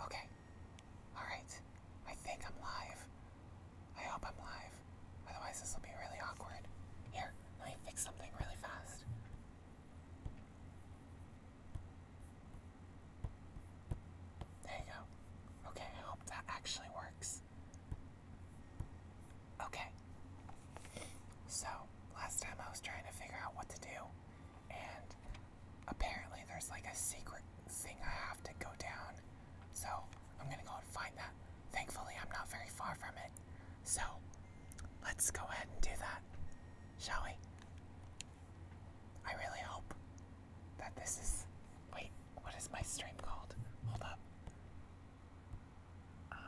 Okay. Alright. I think I'm live. I hope I'm live. Otherwise, this will be really awkward. Here, let me fix something really fast. There you go. Okay, I hope that actually works. Okay. So, last time I was trying to figure out what to do, and apparently there's like a secret thing I have to go down. So, I'm gonna go and find that. Thankfully, I'm not very far from it. So, let's go ahead and do that, shall we? I really hope that this is. Wait, what is my stream called? Hold up. Um,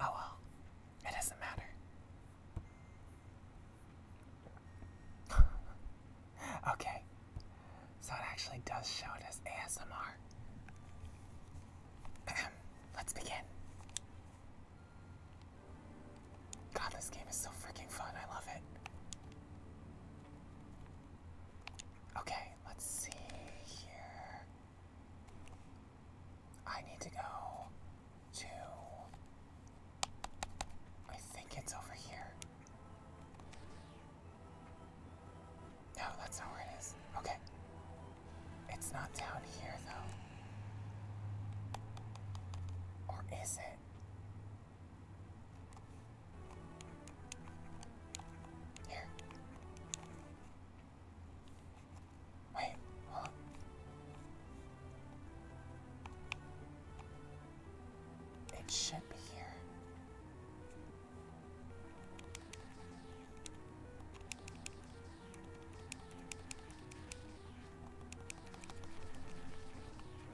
Oh well, it doesn't matter. okay, so it actually does show it as ASMR. Let's begin. God, this game is so freaking fun. I love it. Okay, let's see here. I need to go to. I think it's over here. No, that's not where it is. Okay. It's not down here, though. Or is it? Here. Wait, It should be here.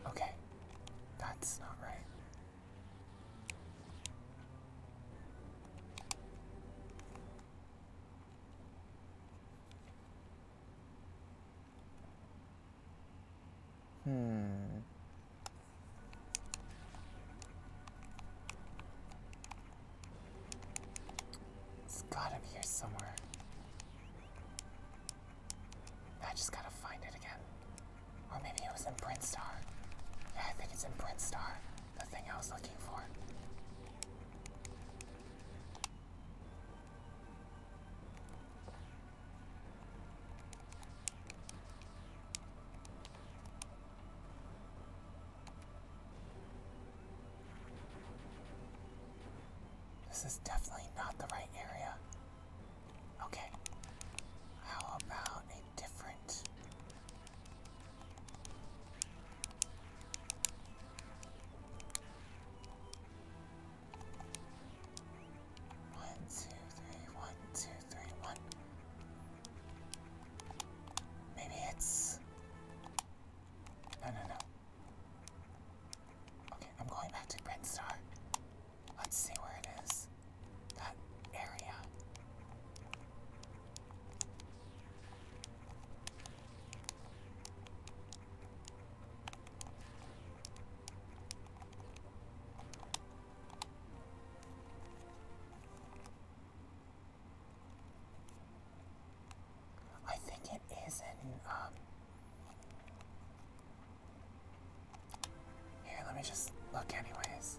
Okay, that's not right. Hmm. It's gotta be somewhere. I just gotta find it again. Or maybe it was in Print Yeah, I think it's in Print The thing I was looking for. This is definitely not the right area. Okay. How about a different one, two, three, one, two, three, one. Maybe it's. No, no, no. Okay, I'm going back to Grindstar. Let's see where it is that area. I think it is in, um, let me just look anyways.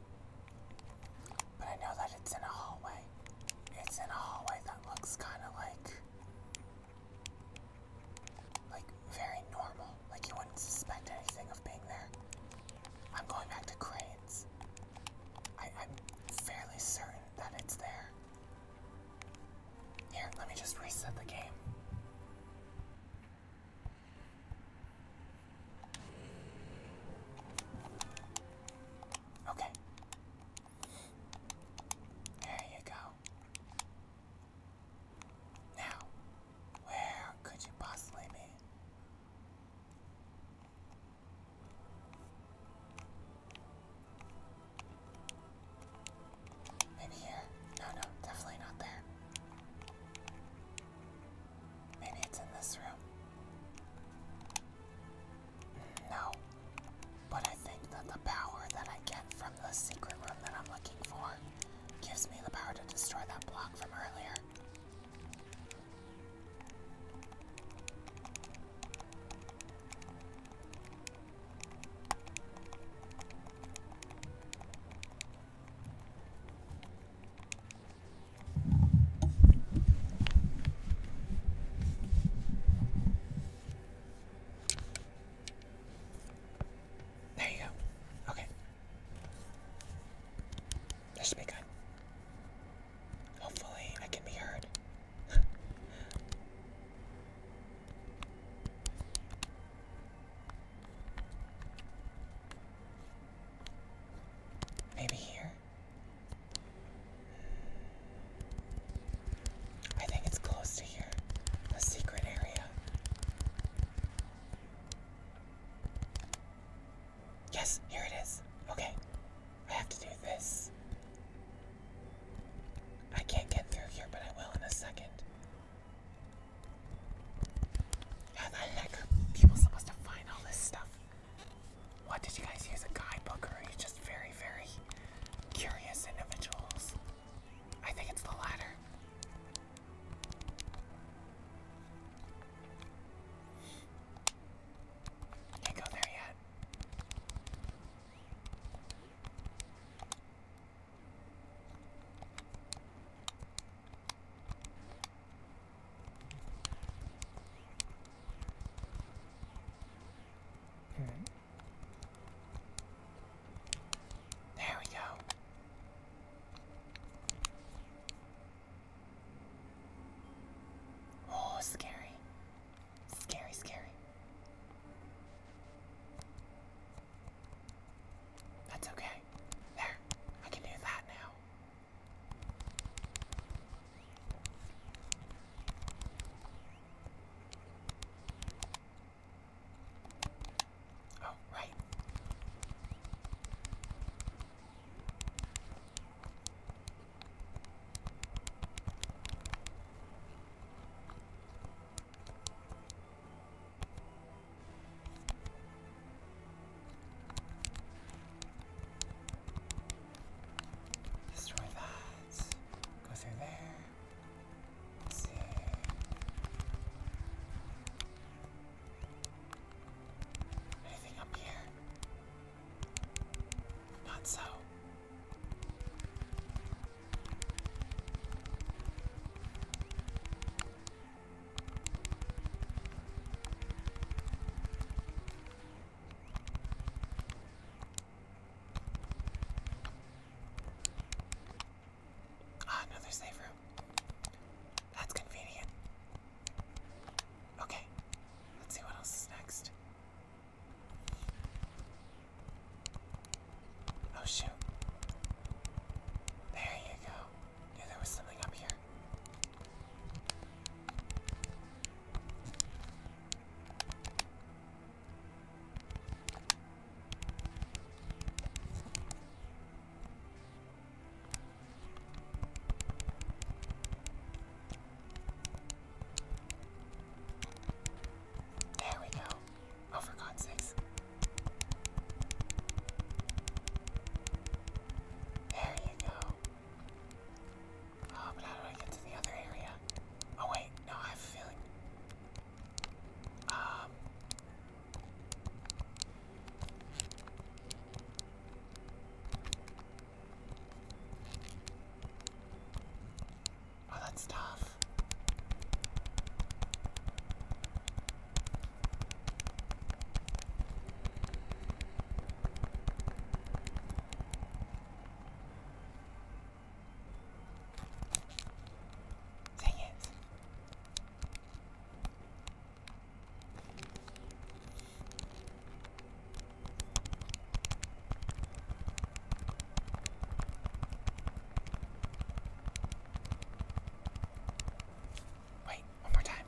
But I know that it's in a hallway. It's in a hallway that looks kind of like. like very normal. Like you wouldn't suspect anything of being there. I'm going back to cranes. I, am fairly certain that it's there. Here, let me just reset the game. Okay. There you go. Now, where could you possibly be? Maybe here. No, no, definitely not there. Maybe it's in this room. No. But I think that the power that I get from the secret room that I'm looking for gives me the power to destroy that block from earlier. There you go. Okay. This should be good. Hopefully, I can be heard. Maybe here? I think it's close to here. The secret area. Yes, here it is. Okay. I have to do this. I can't get through here, but I will in a second. How the heck people supposed to find all this stuff? What did you guys use a guidebook, or are you just very, very curious individuals? I think it's the latter. Can't go there yet. Okay. There we go. Oh, scary. Scary, scary. That's okay. There. I can do that now. Oh, right. Destroy that. Go through there. Let's see. Anything up here? Not so. Ah, another safe room. That's convenient. Okay, let's see what else is next. Oh shoot. There you go there was something up here. There we go. Oh, for God's sakes. There you go. Oh, but how do I get to the other area? Oh wait, no, I have a feeling. Um. Oh, that's tough. Dang it. Wait, one more time.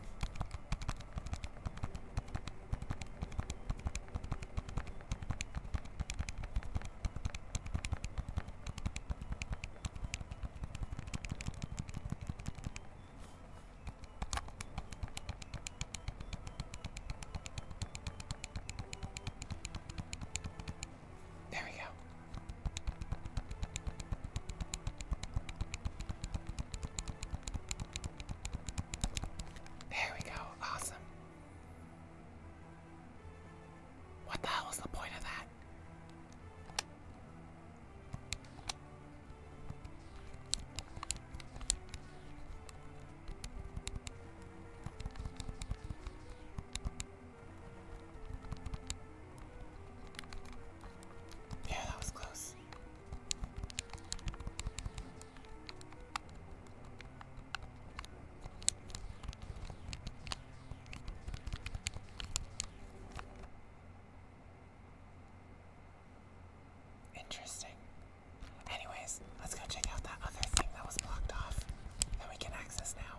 There we go. There we go, awesome. What the hell was the point of that? Yeah, that was close. Interesting. Anyways, let's go check out that other thing that was blocked off that we can access now.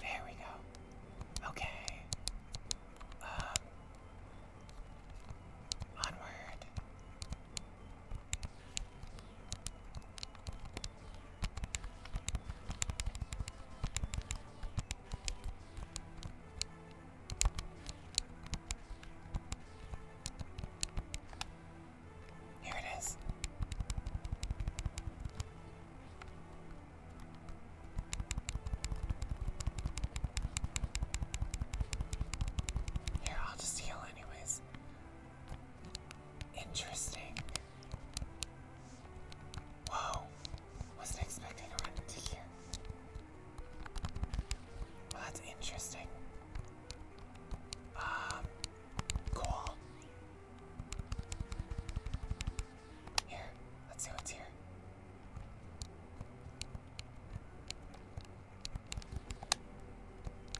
There we go. Okay. Um. Onward. Here it is. Here, I'll just heal anyways. Interesting. Whoa. Wasn't expecting to run into here. Well, that's interesting. Um, cool. Yeah, let's see what's here.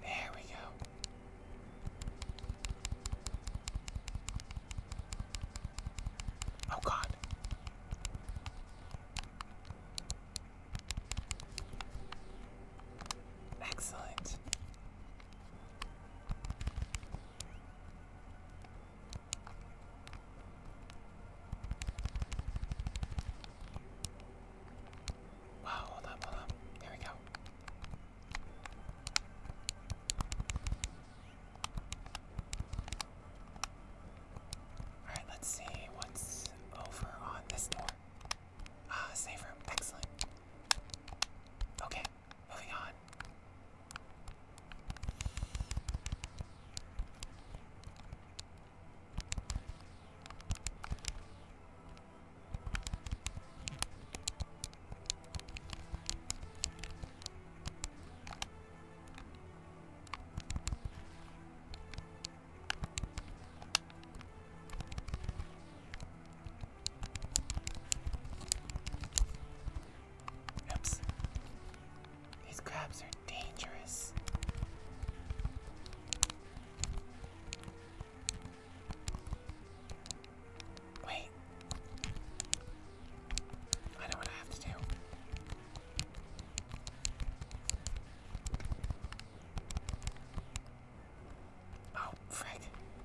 There we go. Oh God. Excellent. Wow, hold up, hold up. Here we go. Alright, let's see what's over on this door. Ah, save room. Excellent. Okay, Moving on. Oops. These crabs are dangerous. Wait. I know what I have to do. Oh, frick.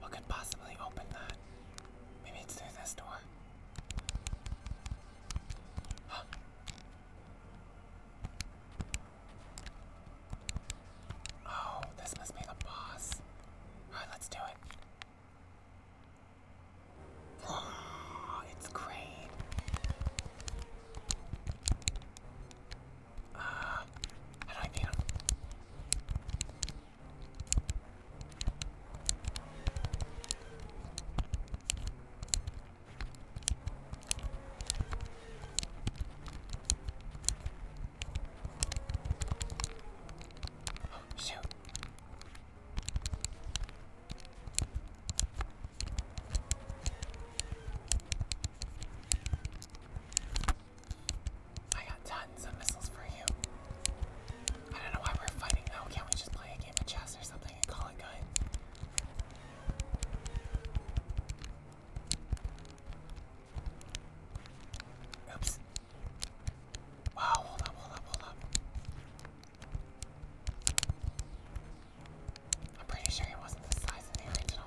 What could possibly open that? Maybe it's through this door. Oh, this must be the boss. Alright, let's do it. it's great. Uh, how do Oh, shoot. I got tons of missiles for you. I don't know why we're fighting though. Can't we just play a game of chess or something call it good? Oops. Wow, hold up, hold up, hold up. I'm pretty sure it wasn't the size of the original.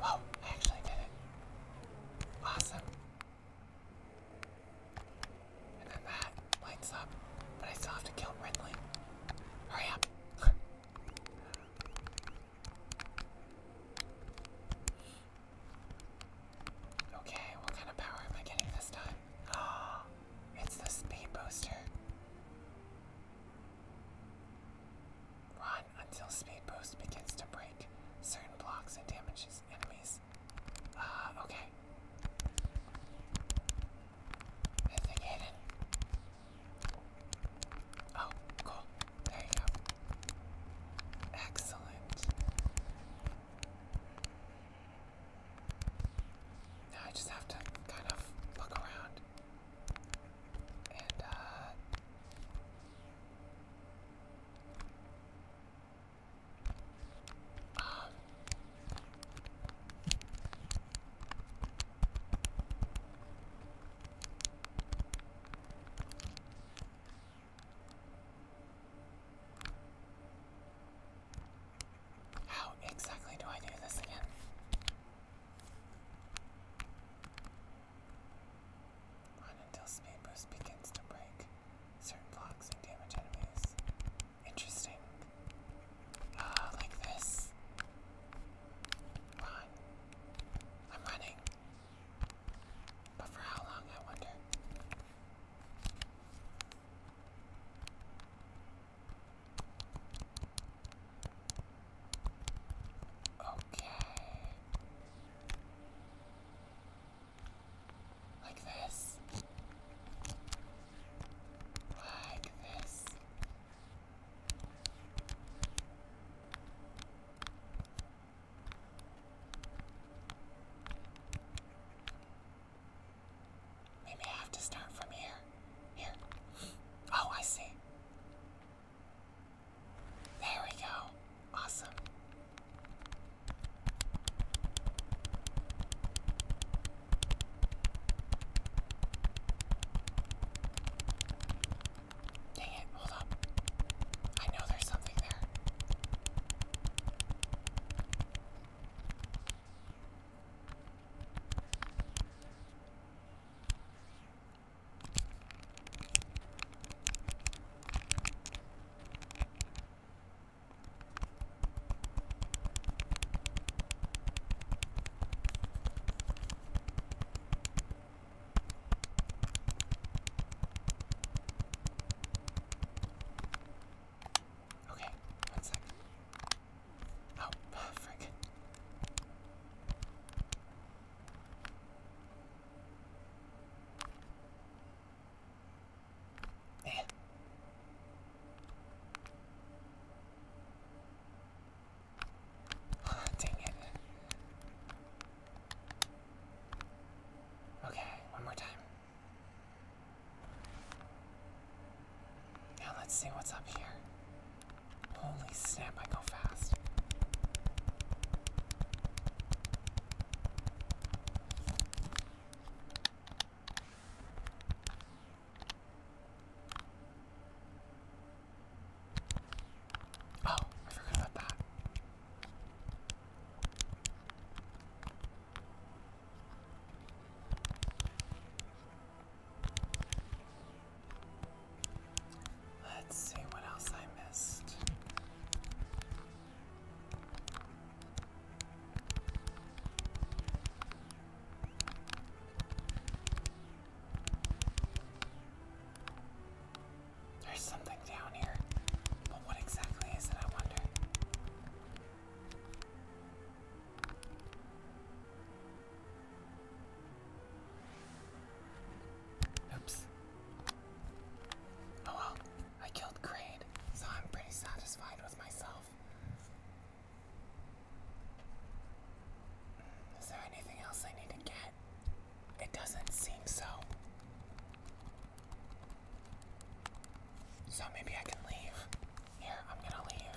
Whoa, I actually did it. Awesome. And then that lights up, but I still have to kill Ridley. Hurry up. Okay, what kind of power am I getting this time? Ah, it's the speed booster. Run until speed boost begins to break certain blocks and damages enemies. Ah, okay. I think hidden. Oh, cool. There you go. Excellent. I just have to kind of look around and, uh, um, how exactly do I do this again? Run until speed boost begins to break certain blocks and damage enemies. Interesting. Ah, like this. Run. I'm running. But for how long, I wonder. Okay. Like this. Like this. Maybe I have to start from here. Here. Oh, I see. There we go. Awesome. Dang it, hold up. I know there's something there. Okay, one second. Oh, frick. Eh. Dang it. Okay, one more time. Now let's see what's up here. Holy snap, I go fast. Oh, I forgot about that. Let's see what else I missed. There's something down here. But what exactly is it, I wonder? Oops. Oh well, I killed Grade, so I'm pretty satisfied with myself. Hmm, is there anything else I need to get? It doesn't seem so. So maybe I can leave. Here, I'm gonna leave.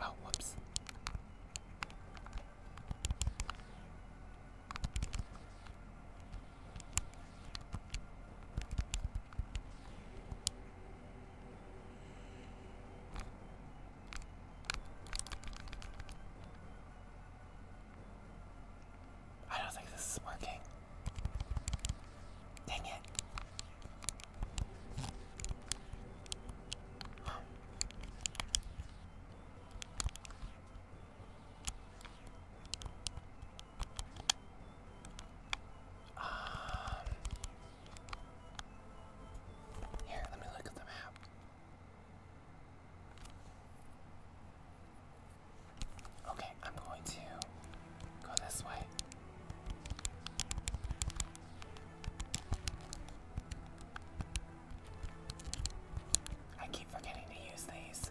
Oh, whoops. I don't think this is working. Dang it. Huh. Um, here, let me look at the map. Okay, I'm going to go this way. I keep forgetting to use these.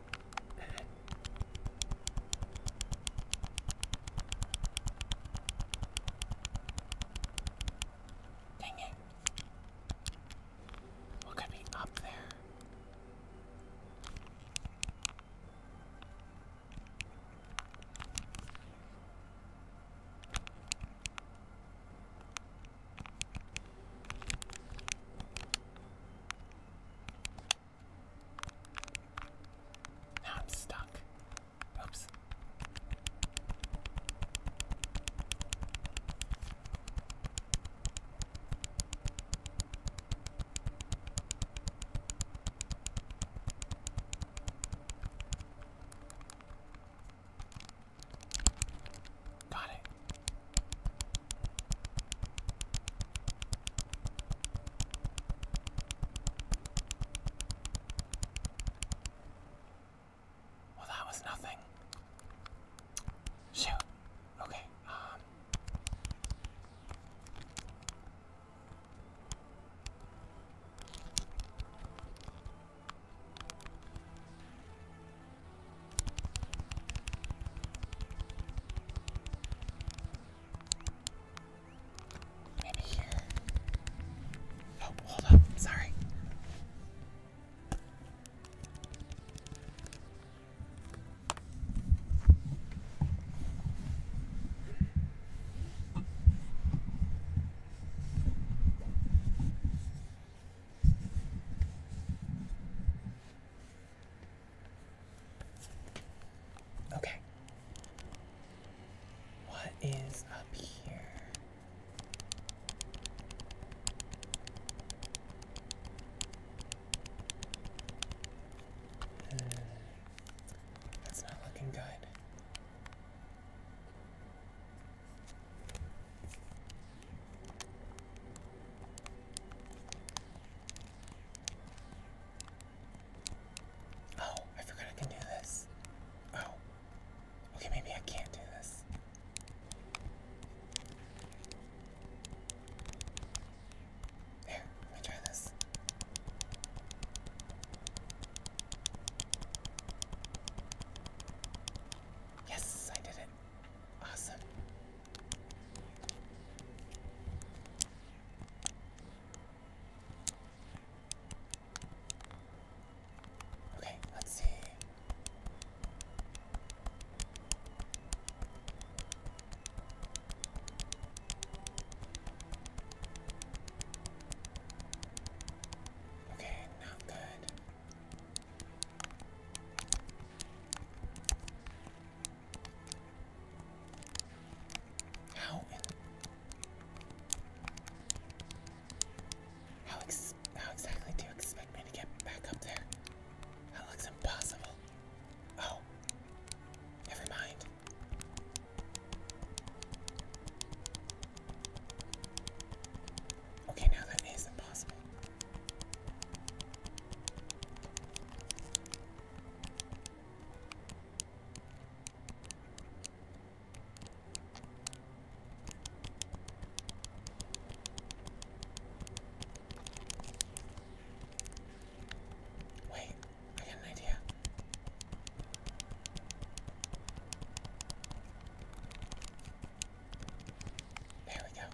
Dang it. What could be up there? I'm stuck. Oops. Got it. Well, that was nothing. Shoot. Okay. Um. Maybe here. Oh, hold up. Sorry. Okay. What is up here? Hmm. That's not looking good. Oh, I forgot I can do this. Oh. Okay, maybe I can't do this. Here, let me try this. Yes, I did it. Awesome. Okay, let's see. Okay, not good. How how exactly do you expect me to get back up there? That looks impossible. Oh, never mind. Okay, now that is impossible. Wait, I got an idea. There we go.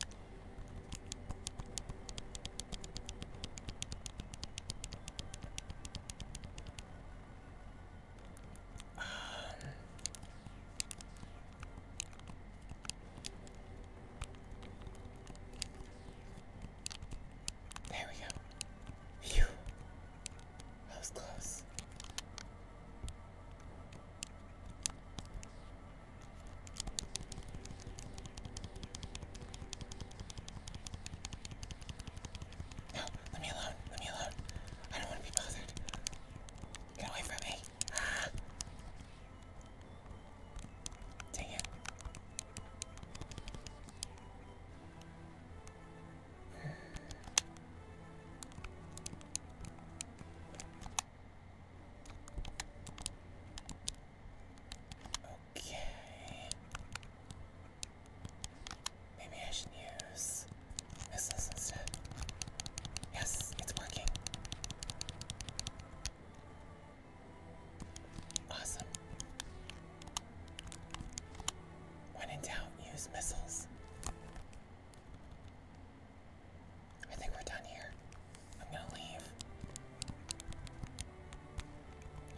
Um, there we go. Phew. That was close. No, let me alone. Let me alone. I don't want to be bothered. Get away from me. Ah. Dang it. Okay. Maybe I should use missiles instead. Yes, it's working. Awesome. When in doubt, use missiles. I think we're done here. I'm gonna leave.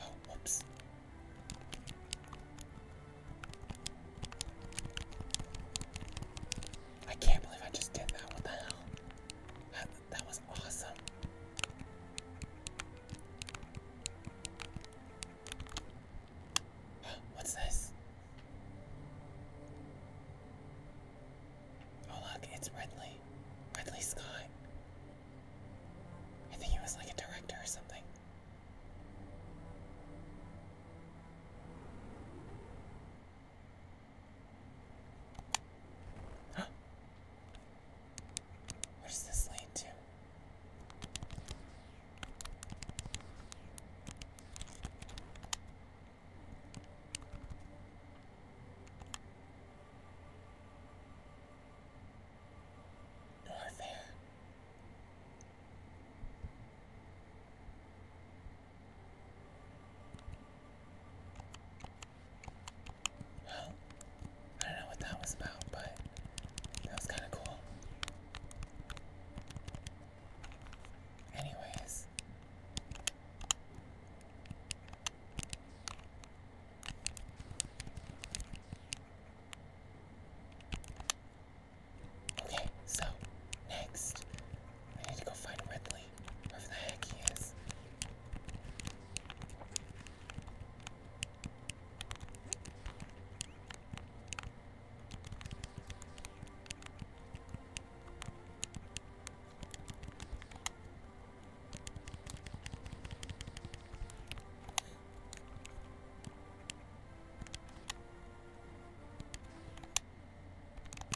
Oh, whoops. I can't believe I just did that. What the hell? That, that was awesome. What's this? Oh look, it's Redley. Redley Scott. I think he was like a director or something. What does this lead to? you Well, I don't know what that was about, but that was kind of cool. Anyways, Okay, so next, I need to go find Ridley, wherever the heck he is.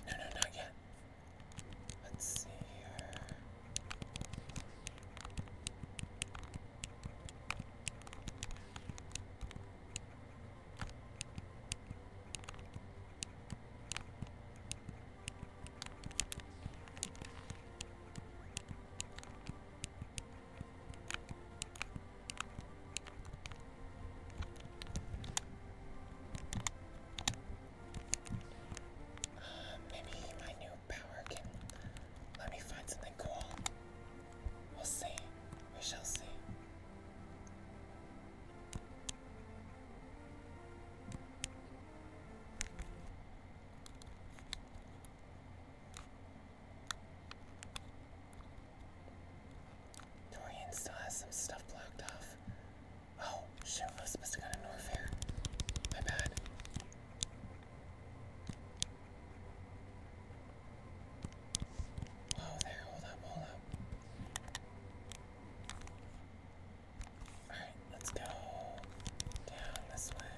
No, no, not yet. Let's see here. Uh, maybe my new power can let me find something cool. We'll see. We shall see. Dorian still has some stuff blocked off. Oh, shit, I was supposed to go to Norfair. My bad. Whoa there, hold up, hold up. Alright, let's go down this way.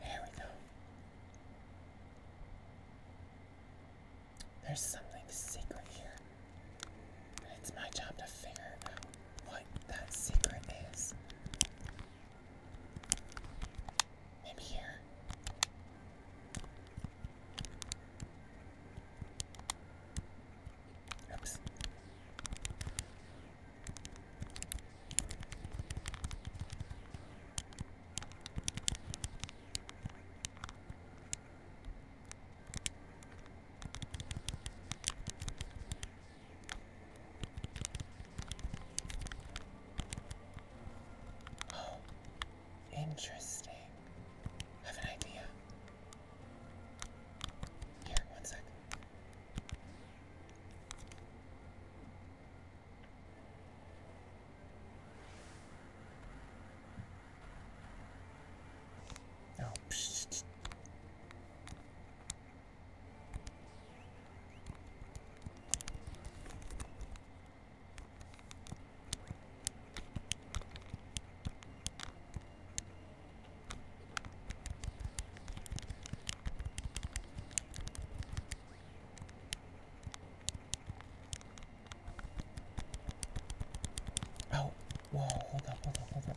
There we go. There's something secret here. It's my job to figure out what that secret is. Maybe here. Uh, oops. Oh, interesting. have an idea. Here, one Oh, psh. Oh, whoa, hold up, hold up, hold up.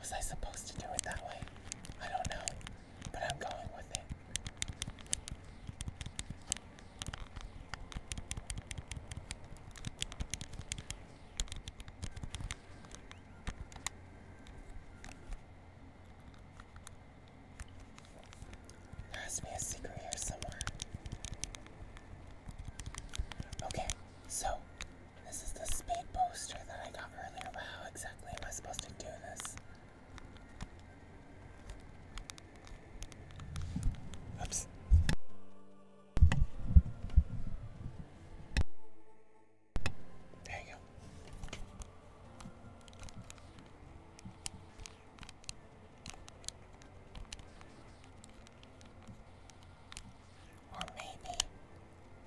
Was I supposed to do it that way? I don't know, but I'm going with it. There has to be a secret here somewhere. Okay, so this is the speed booster that I got earlier. But how exactly am I supposed to do this? Oops. There you go. Or maybe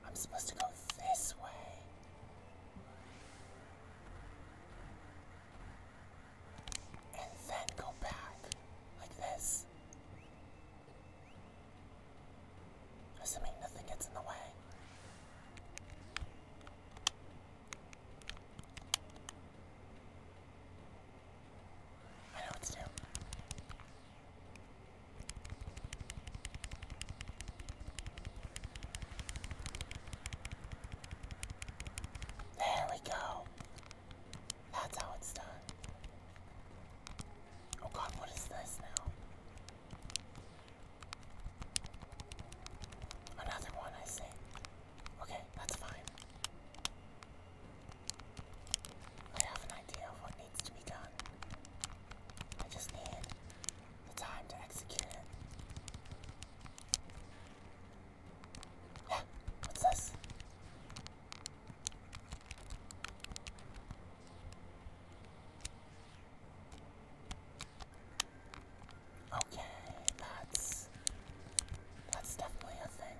I'm supposed to go this way. And then go back like this. Assuming nothing gets in the way. I know what to do. There we go. That's how it's done. Oh god, what is this now? Another one, I see. Okay, that's fine. I have an idea of what needs to be done. I just need the time to execute it. what's this? Okay, that's that's definitely a thing.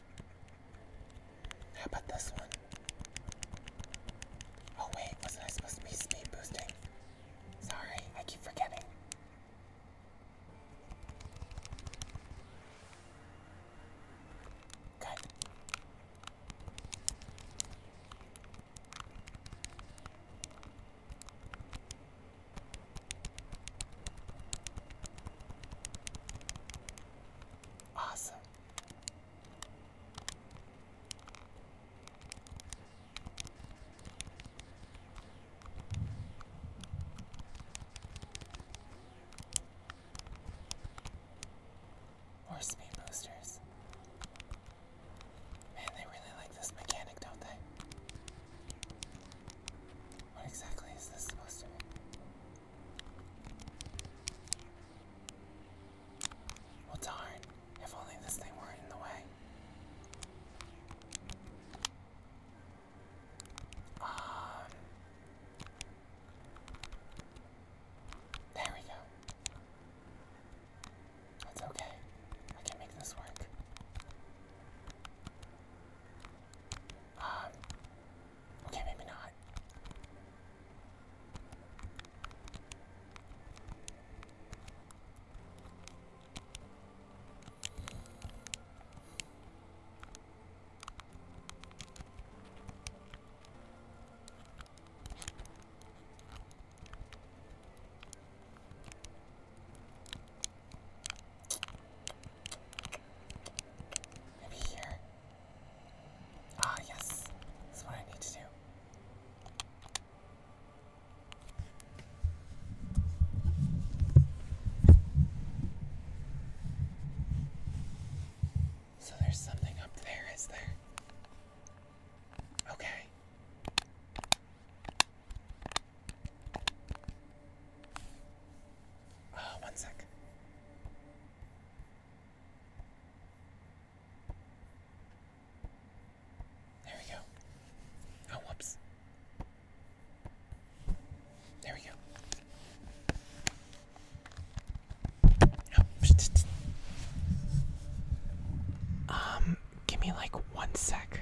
How about this one? Oh wait, wasn't I supposed to be speed boosting? Sorry, I keep forgetting. Good. Awesome. More speed Man, they really like this mechanic, don't they? What exactly is this supposed to be? Well, darn. If only this thing weren't in the way. Um, there we go. That's okay. I can make this work. Um, okay, maybe not. Maybe here. Uh, Ah, yes. That's what I need to do. So there's something up there, is there? Okay. Oh, one sec. There we go. Oh, whoops. There we go. Oh. Um, give me like one sec.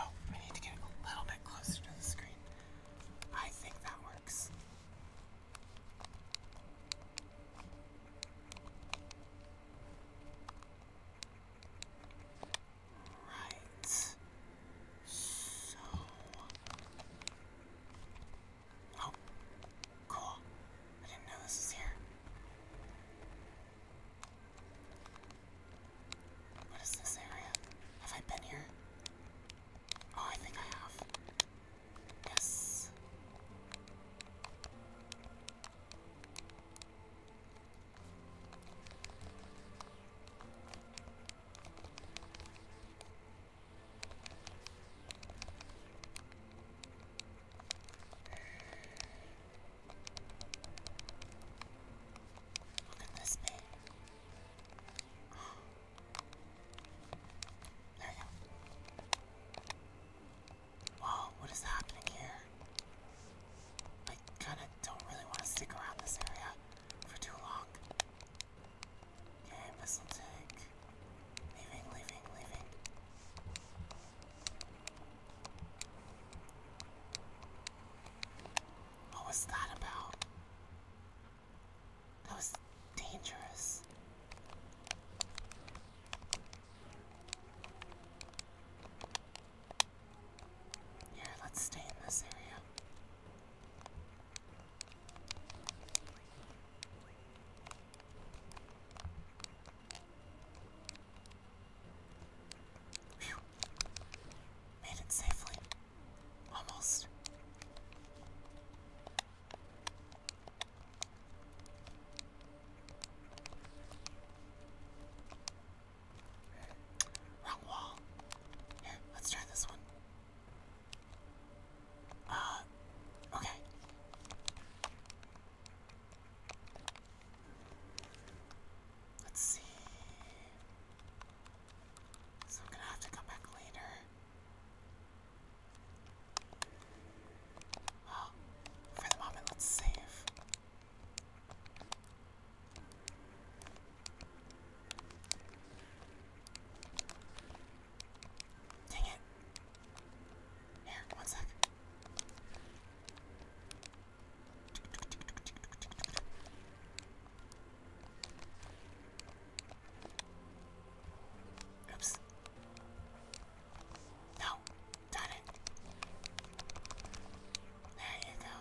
Oh, we need to get a little bit closer to the screen. I think that works. Right. So. Oh, cool. I didn't know this was here. What is this area? Have I been here? Oh, I think I have. Yes. Look at this bit. There we go. Whoa, what is happening here? I kind of don't really want to stick around this area for too long. Okay, missile take. Leaving, leaving, leaving. What was that about? That was dangerous. Here, let's stay in this area. Made it safely. Almost. Wrong wall. Here, let's try this one. Uh, okay. Let's see. So I'm gonna have to come back later. Well, oh, for the moment, let's save. Dang it. Here, one sec. Oops. No, done it. There you go.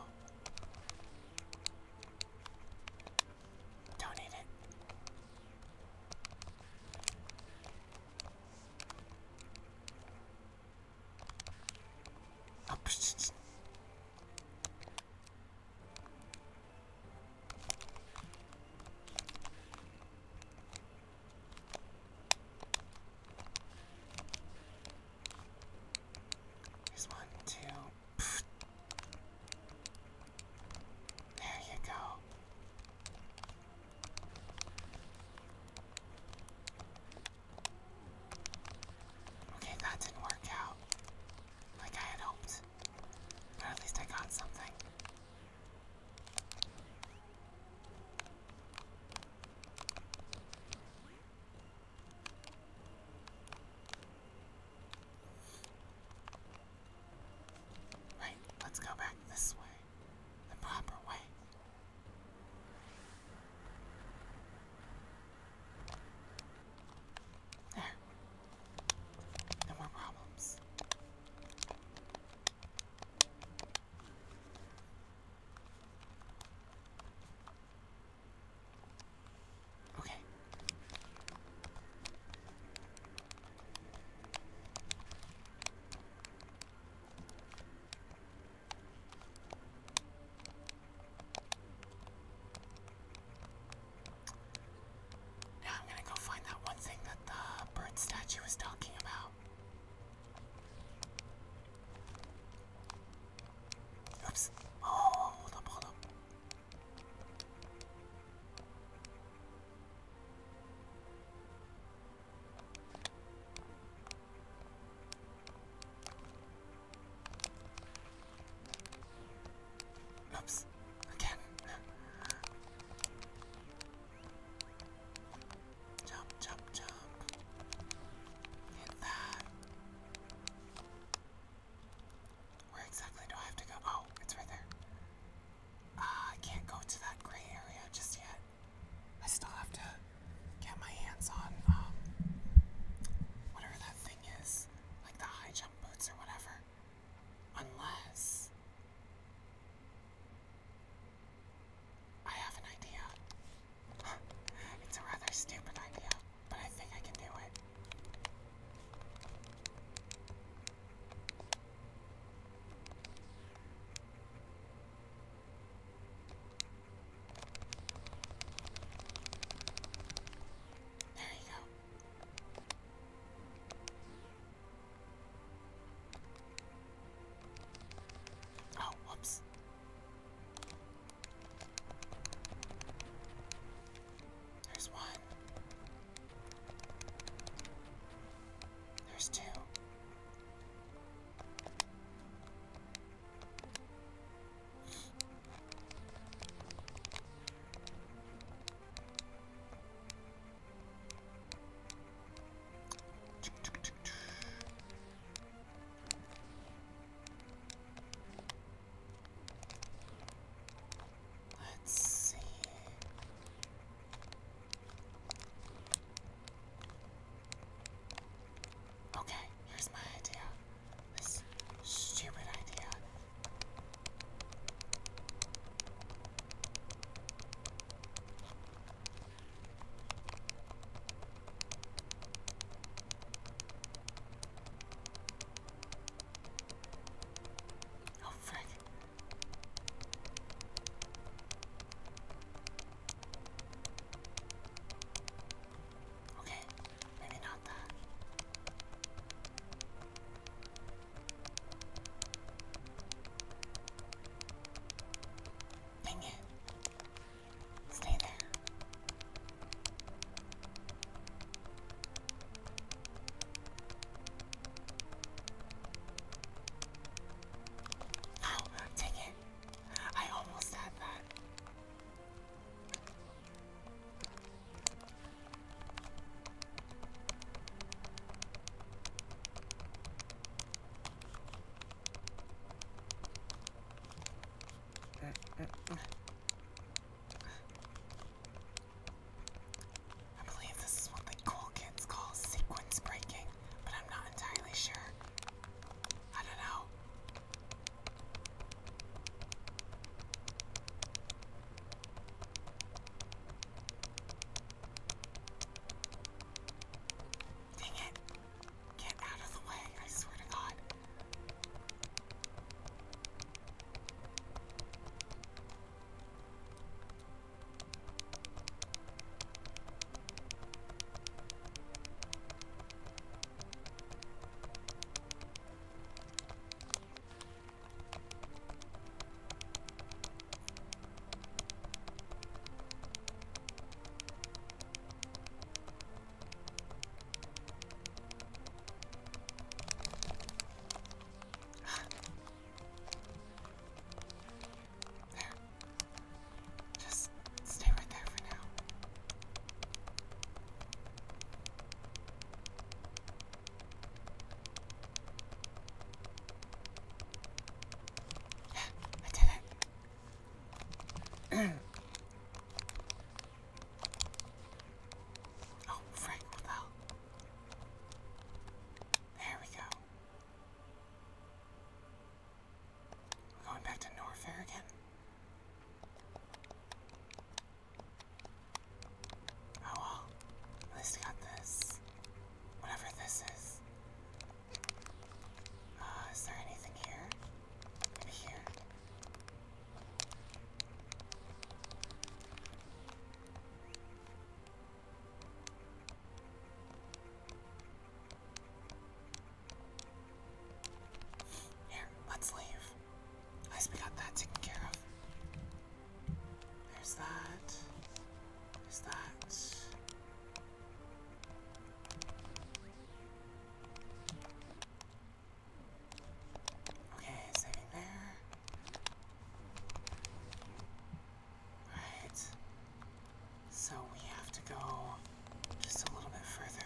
Don't eat it. Oh, Here's one, two. There you go. Okay, that didn't work out like I had hoped. But at least I got something. Right, let's go back this way. The proper way. There. No more problems. Okay. Now I'm gonna go find that one thing that the bird statue was talking about. Oops. Oh, hold up, Oops. Again. Jump, jump, jump. Hit that. Where exactly do I have to go? Oh, it's right there. Ah, uh, I can't go to that gray area just yet. I still have to get my hands on, um, whatever that like the high jump boots or whatever. Unless. I have an idea. it's a rather stupid idea, but I think I can do it. There we go. Oh, whoops. There's one. There's two. Let's see. Okay, here's my idea. This stupid idea. Oh, frick. Okay, maybe not that. Dang it. Stay there. Oh, dang it. I almost had that. I believe this is what the cool kids call sequence breaking, but I'm not entirely sure. I don't know. Dang it! Get out of the way, I swear to God. There. Just stay right there for now. I did it. oh, Frank, what the hell? There we go. going back to Norfair again. Oh at least I got this. Whatever this is. Uh, is there anything here? Maybe here? Here, let's leave. At least we got that taken care of. There's that. There's that. Okay, saving there. Right. So we have to go just a little bit further.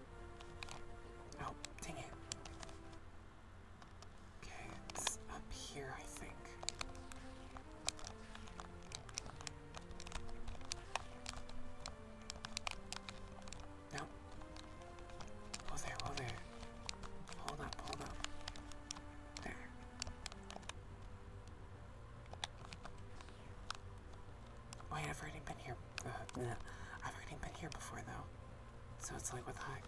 Oh, dang it. Okay, it's up here, I think. No. Oh there, oh there. Hold up, hold up. There. Wait, I've already been here. Uh, I've already been here before, though. So it's like, what the heck?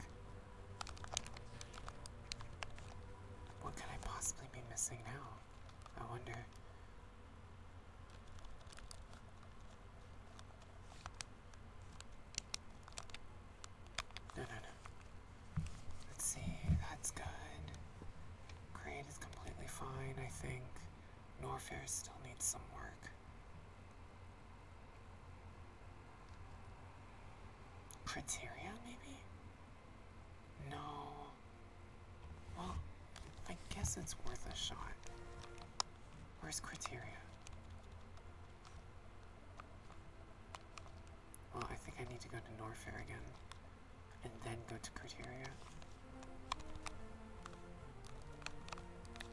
What could I possibly be missing now? I wonder. No, no, no. Let's see, that's good. Grade is completely fine, I think. Norfair still needs some work. Criteria, maybe? No. Well, I guess it's worth a shot. Where's criteria? Well, I think I need to go to Norfair again, and then go to criteria.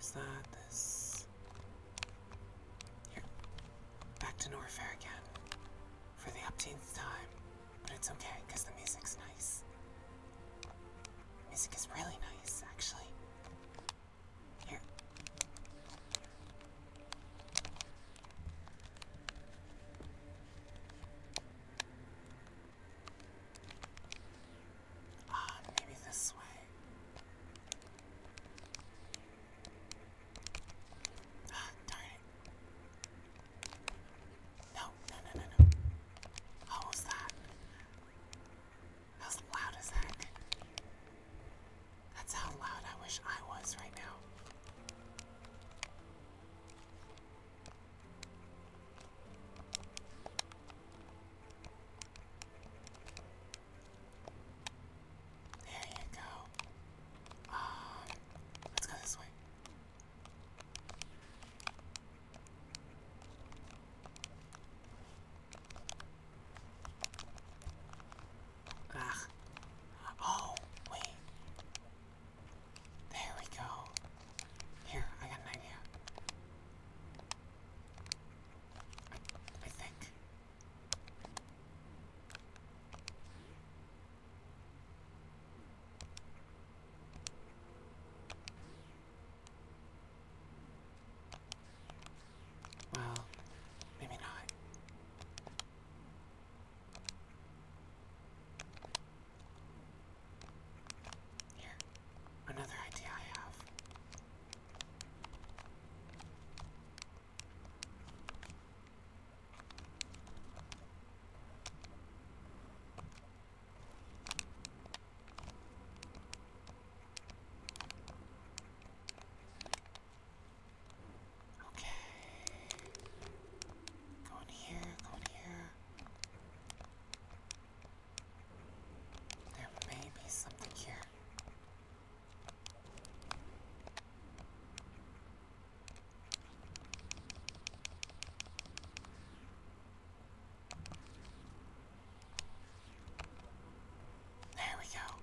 Is that, this. Here. Back to Norfair again. For the upteenth time. But it's okay, because the music's nice. music is really nice, actually. Here. Ah, maybe this way. Ah, darn it. No, no, no, no, no. Oh, was that? That was loud as heck. That's how loud I wish I was right now. There you go. Um, let's go this way. Ugh. Oh, wait. There we go. Here, I got an idea. I, I think. Well, maybe not. Here, another idea I have. Okay. Go in here, go in here. There may be something here. There we go.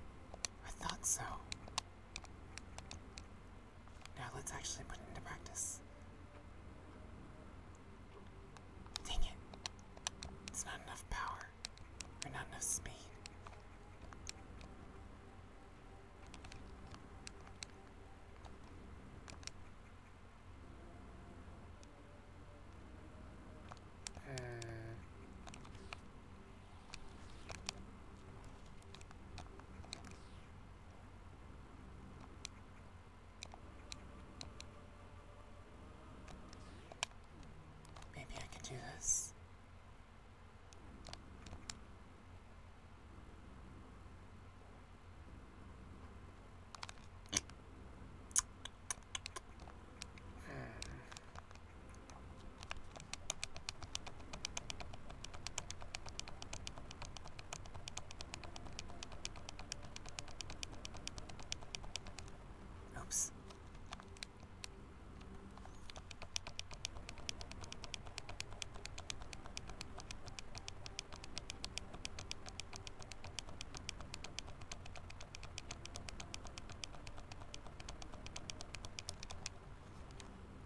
I thought so. Now let's actually put it into practice. Dang it. It's not enough power. Or not enough speed. Hmm. Maybe I can do this. Oops.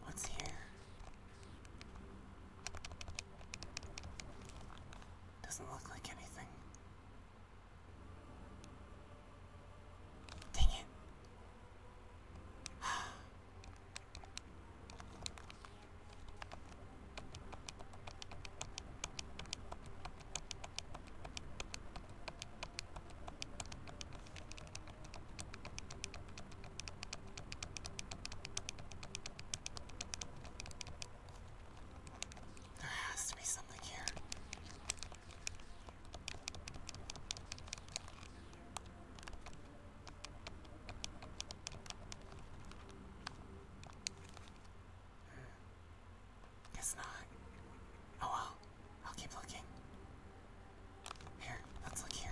What's here? Doesn't look like anything. Dang it. There has to be something here. Guess hmm. not. Oh well, I'll keep looking. Here, let's look here.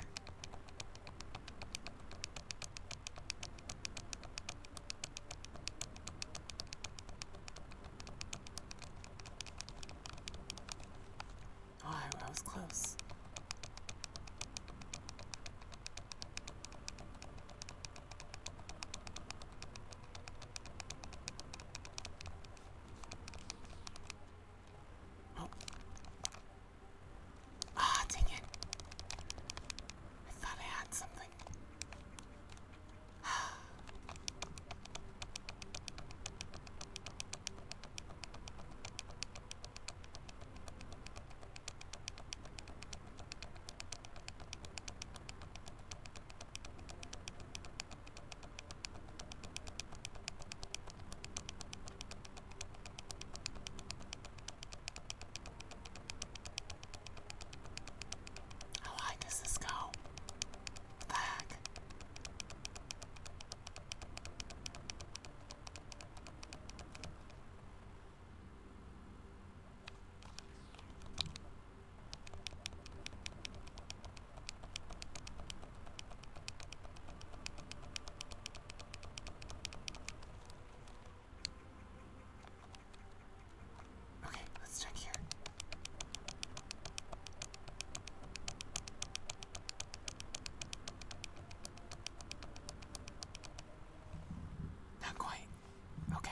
Oh, I, I was close. Oh. Ah, dang it. I thought I had something. How high does this go? What Okay, let's check here. Not quite. Okay.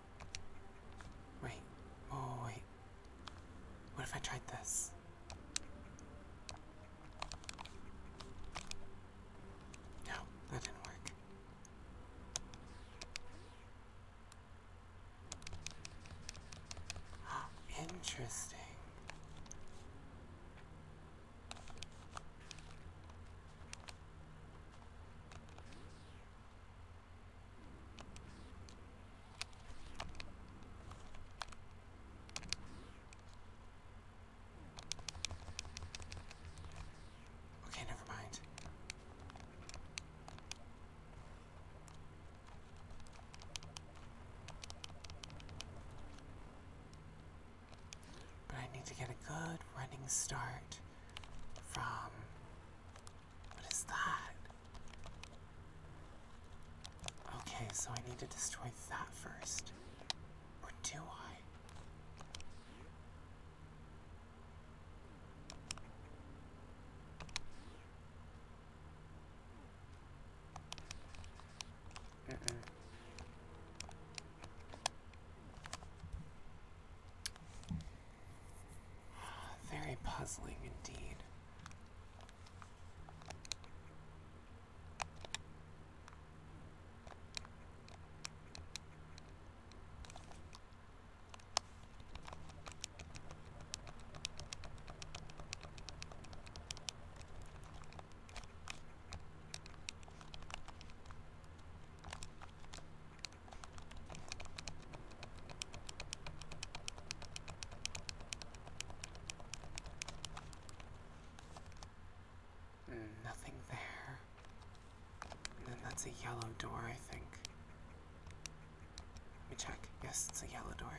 Wait. Oh, wait. What if I tried this? No, that didn't work. Ah, interesting. Okay, never mind. But I need to get a good running start from what is that? Okay, so I need to destroy that first. Or do I? Mm -mm. Very puzzling indeed. Mm, nothing there. And then that's a yellow door, I think. Let me check. Yes, it's a yellow door.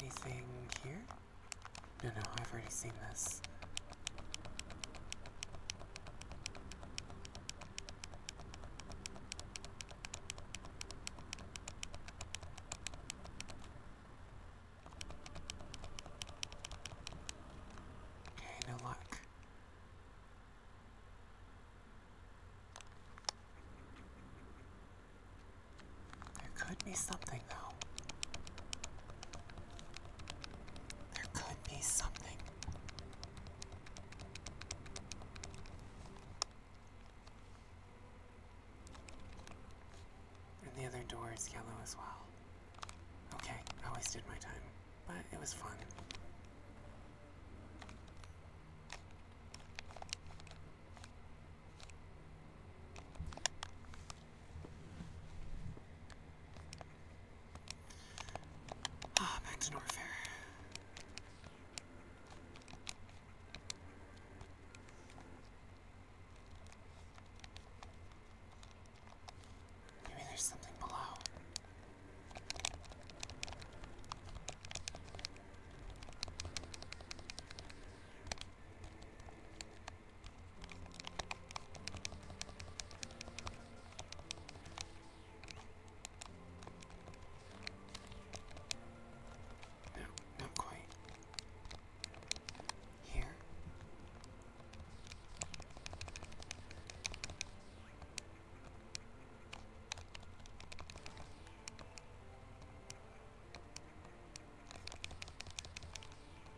Anything here? No, no, I've already seen this. Okay, no luck. There could be something though. There could be something. And the other door is yellow as well. Okay, I wasted my time, but it was fun. Ah, back to Maybe there's something below. No, not quite. Here.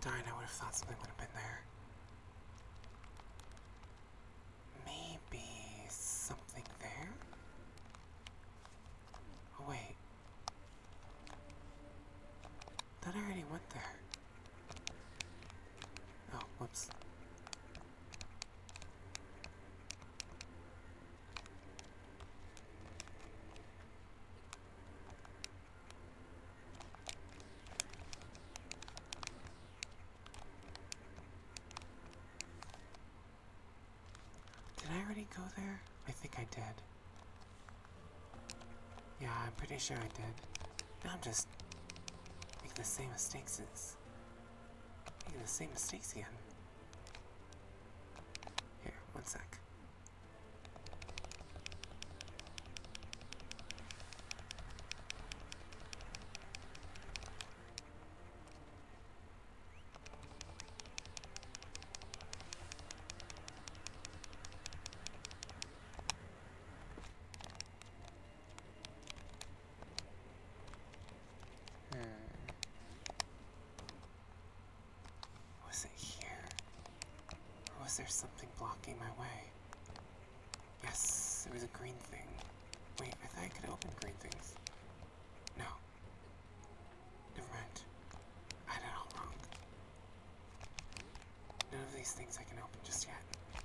Darn, I would have thought something would have been there. Maybe something there? Oh wait. That already went there. Oh, whoops. Did I already go there? I think I did. Yeah, I'm pretty sure I did. Now I'm just making the same mistakes making the same mistakes again. Here, one sec. Hmm. Was it here? was there something blocking my way? Yes, it was a green thing. Wait, I thought I could open green things. No. Never mind. I did it all wrong. None of these things I can open just yet.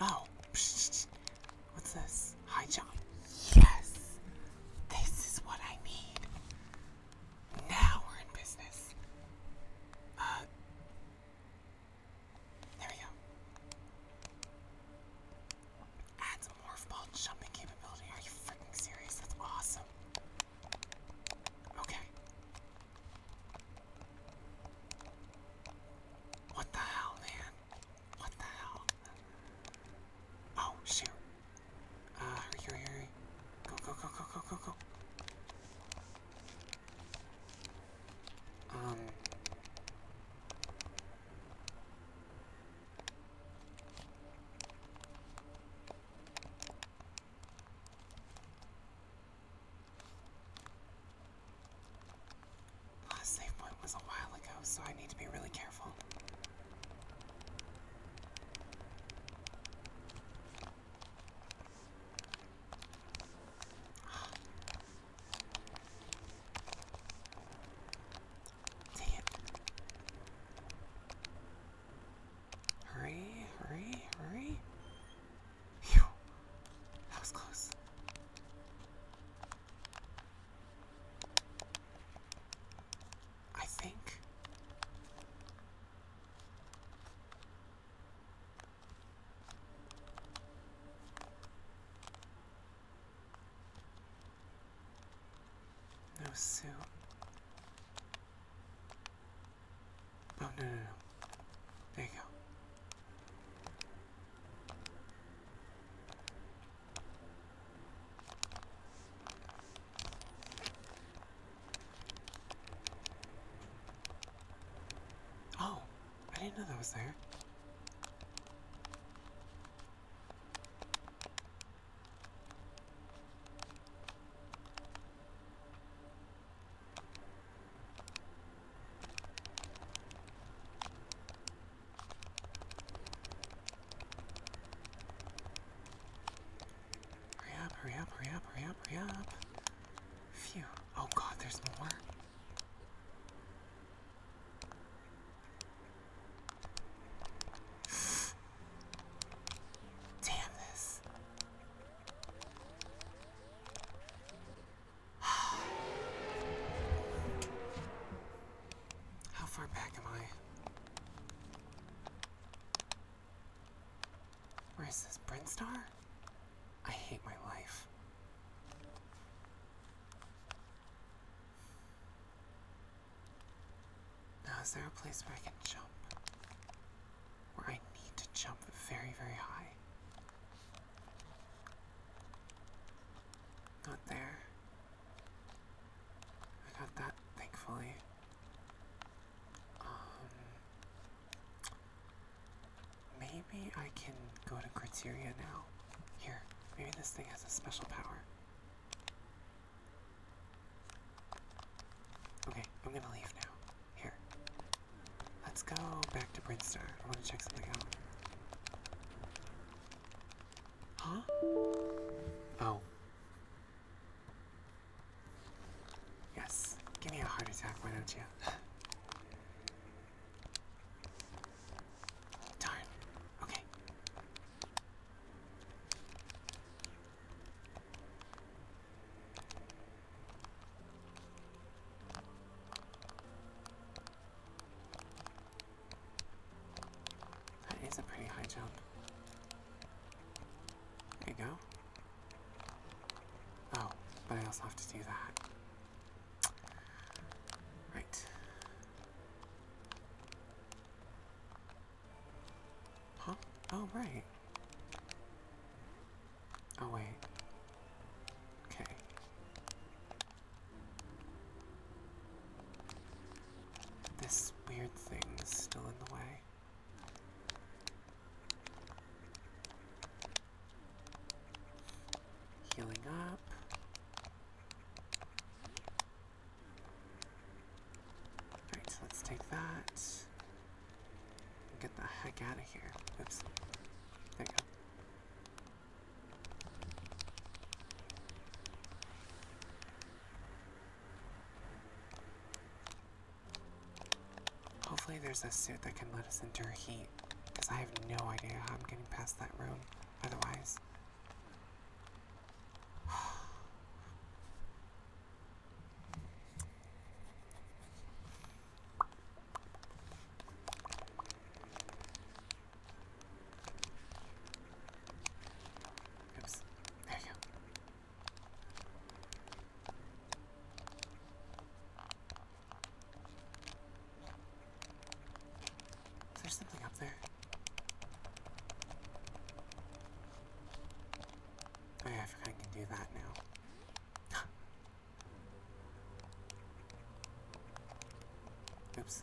Oh, what's this? Hi, John. Yes, this is what I need. Now we're in business. Uh, there we go. Adds morph ball jumping capability. Are you freaking serious? That's awesome. Okay. What the hell, man? What the hell? Oh, shoot. Uh, hurry, hurry, hurry. Go, go, go, go, go, go, go. Um, last save point was a while ago, so I need to be really careful. Hurry, hurry, hurry. That was close. I think. No suit. Oh, no, no, no. There you go. Oh, I didn't know that was there. Hurry up, hurry up, hurry up, hurry up, hurry up. Phew. Oh god, there's more. Damn this. How far back am I? Where is this? Brinstar? I hate my life. Now, is there a place where I can jump? Where I need to jump very, very high? Not there. I got that, thankfully. Um, Maybe I can go to criteria now. Here, maybe this thing has a special power. Okay, I'm gonna leave now. Here. Let's go back to Brinstar. I wanna check something out. Huh? Oh. Yes, give me a heart attack, why don't you? Darn. Okay. That is a pretty high jump. There you go. Oh, but I also have to do that. Right. Huh? Oh, right. Oh, wait. Okay. This weird thing is still in the way. Healing up. Alright, so let's take that. Get the heck out of here. Oops. There you go. Hopefully there's a suit that can let us endure heat, because I have no idea how I'm getting past that room otherwise. Oops. There you go. Is there something up there? Oh, I forgot I can do that now. Oops.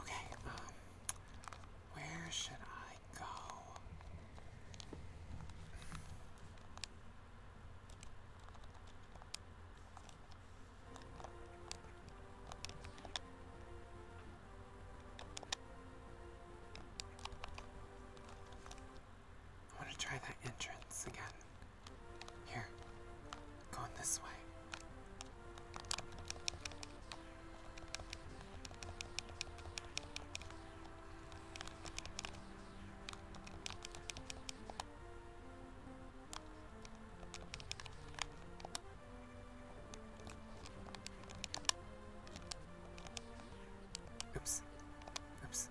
Okay, um, where should I I go? want to try that entrance again. Here, going this way. Oops. Oops.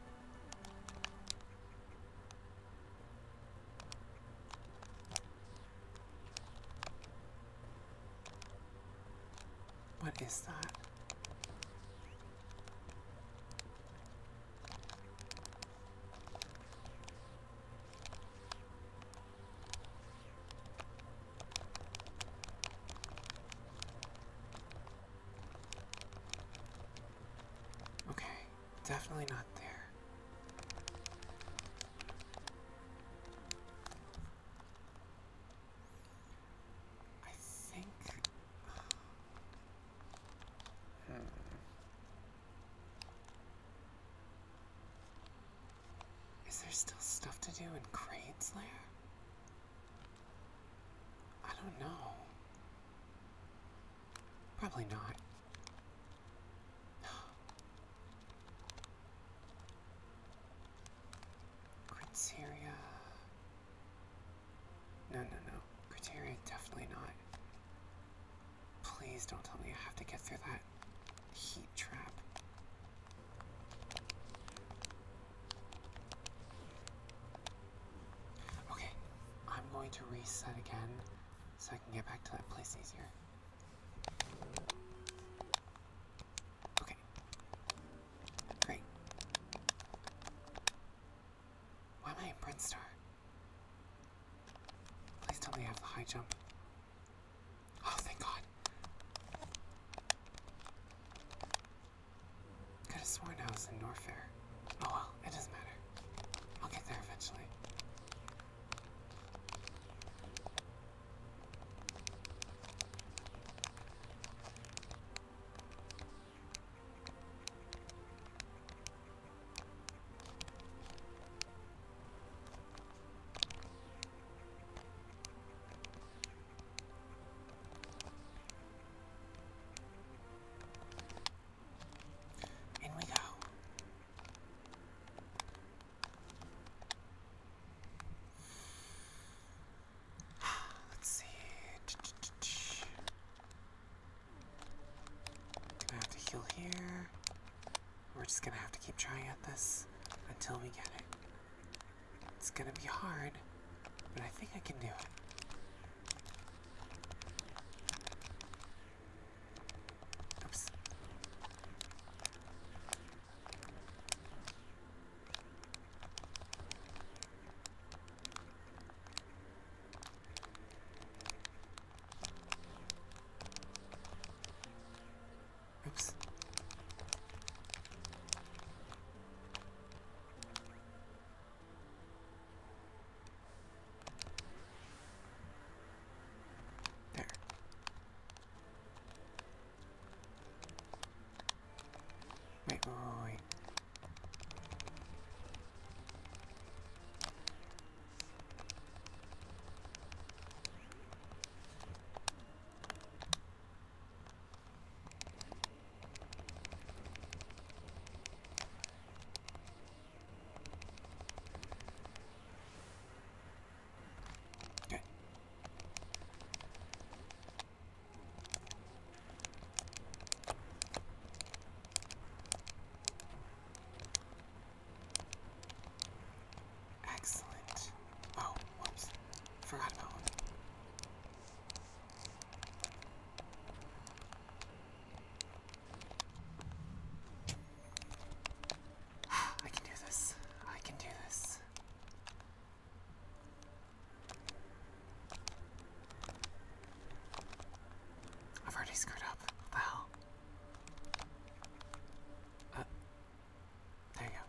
What is that? Okay, definitely not there. I think. Hmm. Is there still stuff to do in Crane's Lair? I don't know. Probably not. Criteria. No, no, no. Criteria, definitely not. Please don't tell me I have to get through that heat trap. Okay, I'm going to reset again so I can get back to that place easier. Okay. Great. Why am I a Prince Please tell me I have the high jump. Oh, thank God. Could have sworn I was in Norfair. Oh well, it doesn't matter. I'll get there eventually. In we go. Let's see. Gonna have to heal here. We're just gonna have to keep trying at this until we get it. It's gonna be hard, but I think I can do it. Oops. Oops. There. Wait, wait, wait, wait. Okay. Excellent. Oh, whoops. Forgot about one. I can do this. I can do this. I've already screwed up. What Uh, there you go.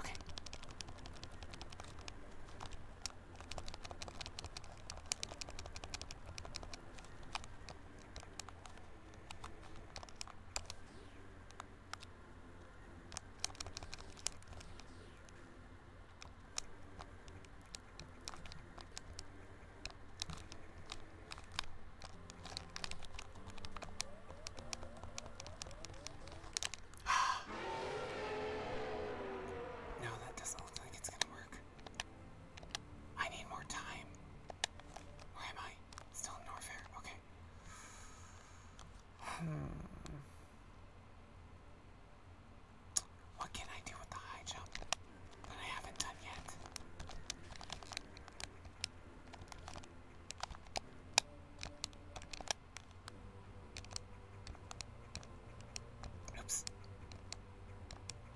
Okay. No, that doesn't look like it's gonna work. I need more time. Where am I? Still in Norfair. Okay. Hmm. What can I do with the high jump that I haven't done yet? Oops.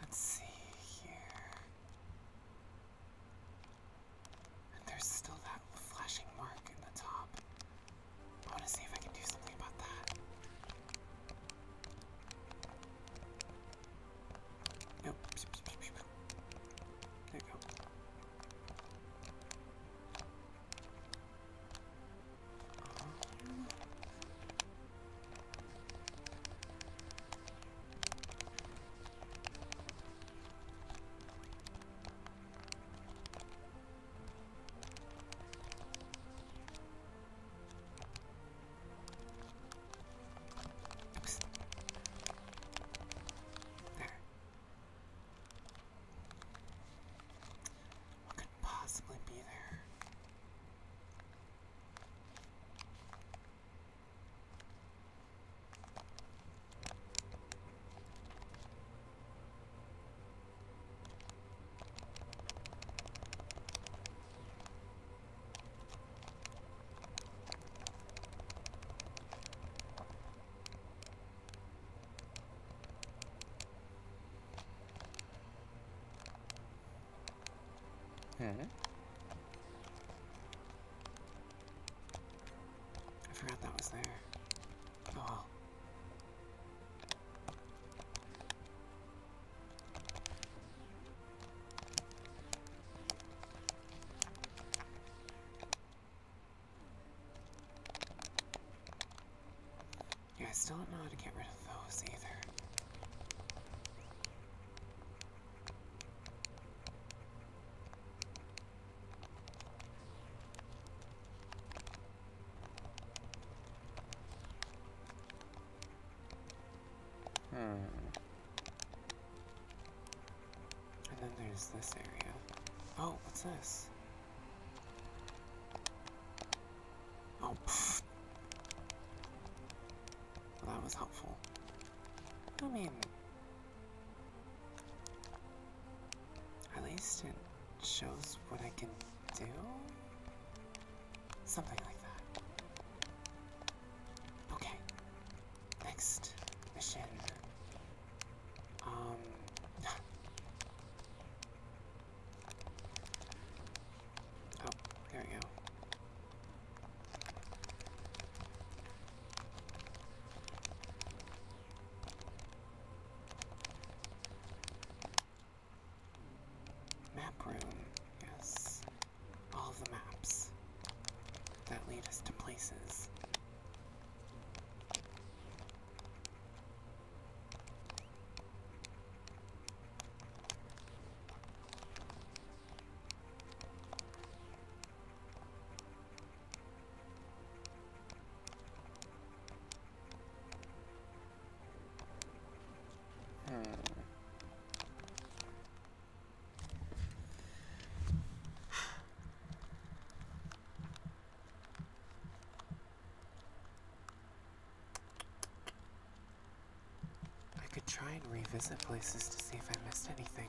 Let's see here. there's still that flashing mark in the top. I want to see if I can do something about that. Nope. There you go. Um, Oops. There. What could possibly be there? Huh? I forgot that was there. Oh yeah, I still don't know how to get rid of those either. Hmm. And then there's this area. Oh, what's this? Oh, that was helpful. I mean, at least it shows what I can do? Something like that. Okay. Next mission. Um. oh, there we go. Map room. Yes. All the maps that lead us to places. Hmm. I could try and revisit places to see if I missed anything.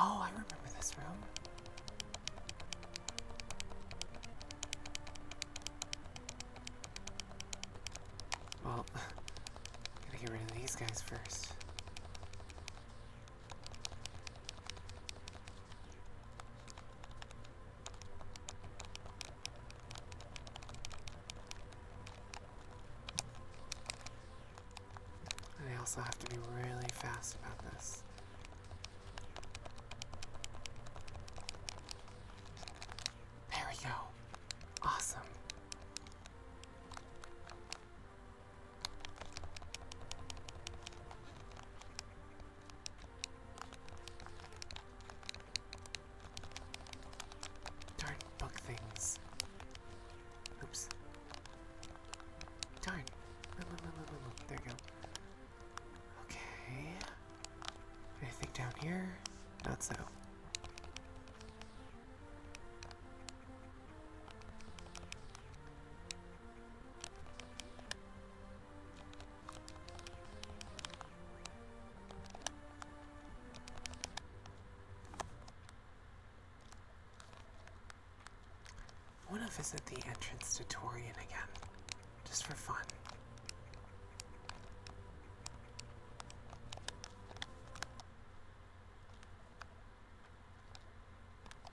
Oh, I remember this room. Well, gotta get rid of these guys first. I also have to be really fast about this. There we go. Awesome. Darn bug things. Oops. Darn. There we go. Okay. Anything down here? Not so. I want to visit the entrance to Torian again, just for fun.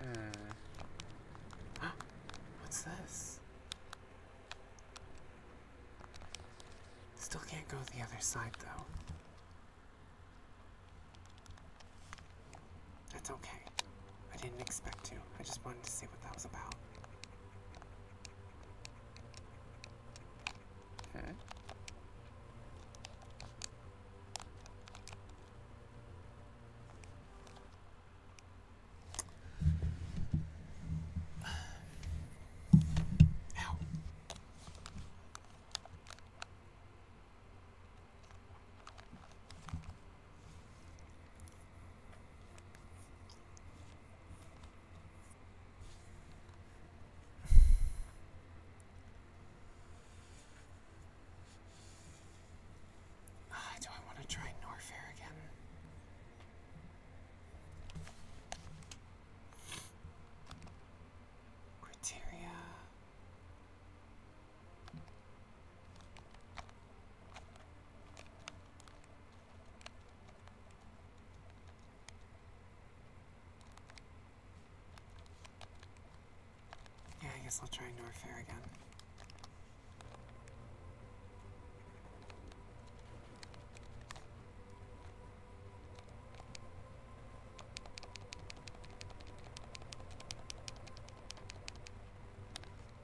Hmm. What's this? Still can't go the other side, though. That's okay. I didn't expect to. I just wanted to see what that was about. Okay. Ow. Ah, do I want to try Norfair again? Criteria. Yeah, I guess I'll try North Fair again.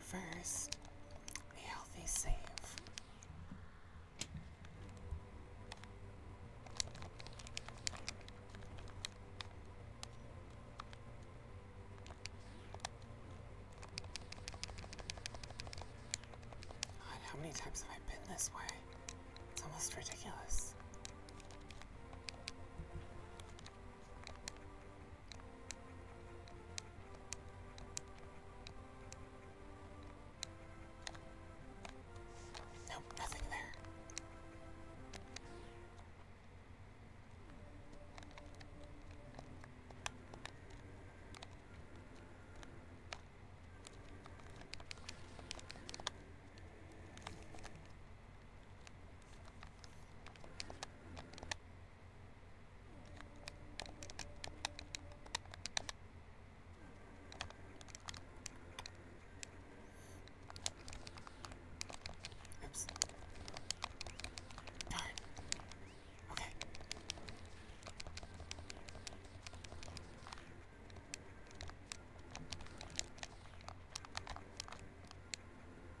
First, a healthy save. God, how many times have I been this way? It's almost ridiculous. Nope, nothing there. Oops. Darn. Okay.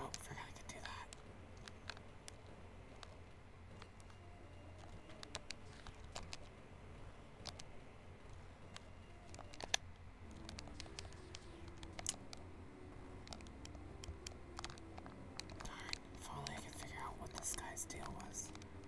Oh, forgot I do that. Darn, if figure out what this guy's deal was.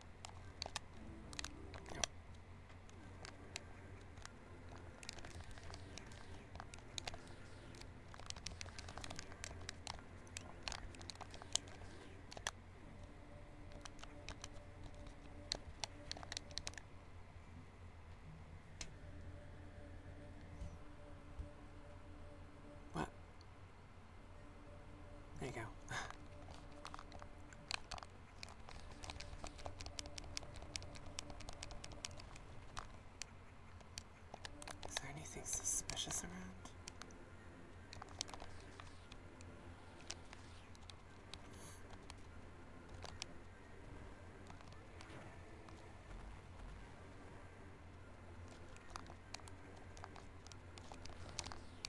Yep. What? There you go. Is there anything suspicious around?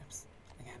Oops, again.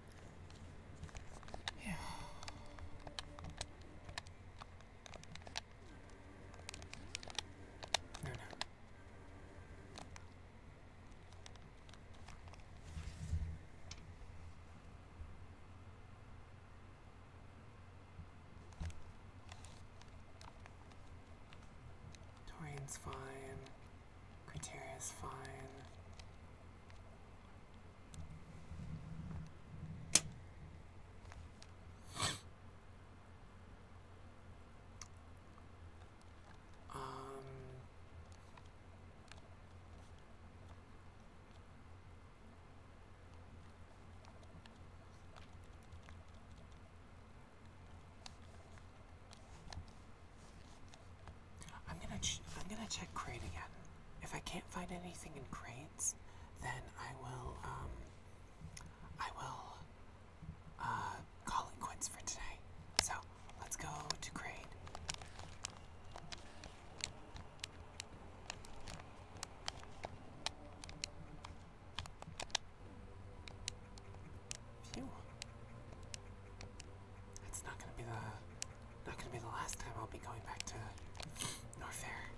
Yeah. No, Torian's fine. Criteria's fine. Um, I'm gonna I'm gonna check crate again if I can't find anything in crates, then I will, um, I will, uh, call it quits for today. So, let's go to crate. Phew. It's not gonna be the not gonna be the last time I'll be going back to Norfair.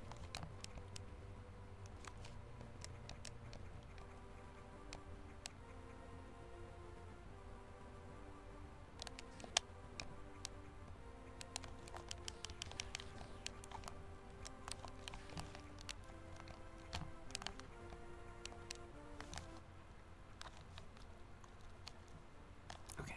Okay.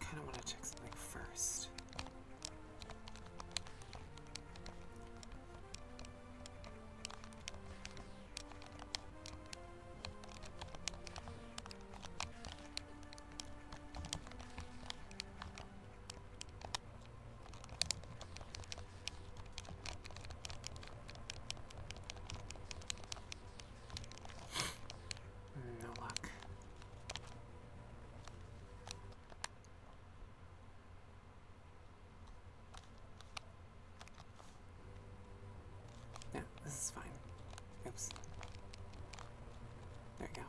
Kind of want to check something first no luck. No, this is fine. Oops. There we go.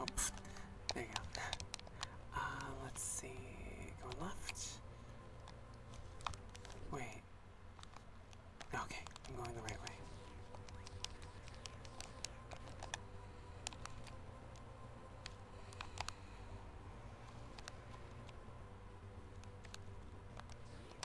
Oh, there you go. Uh, let's see. Going left. Wait. Okay, I'm going the right way.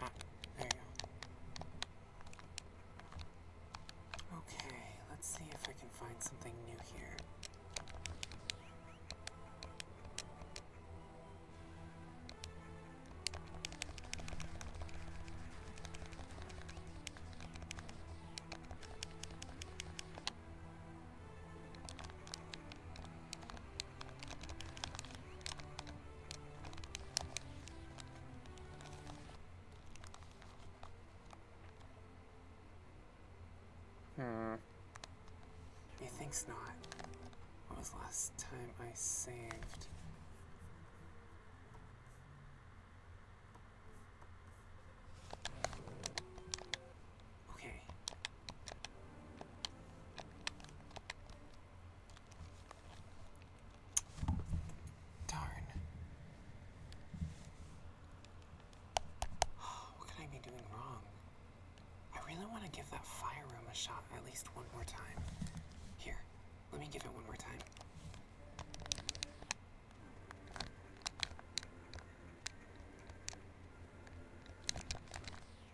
Ah, okay, let's see if I can find something new here. Hmm. He thinks not. What was last time I saved? Okay. Darn. What could I be doing wrong? I really want to give that fire room a shot at least one more time. Here, let me give it one more time.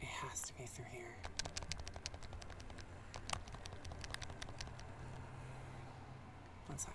It has to be through here. One sec.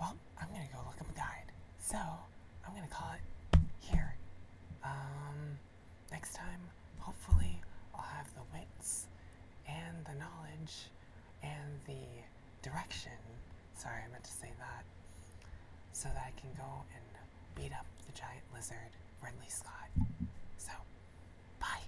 Well, I'm gonna go look up a guide. So, I'm gonna call it here. Um, next time, hopefully, I'll have the wits and the knowledge and the direction. Sorry, I meant to say that. So that I can go and beat up the giant lizard, Ridley Scott. So, bye.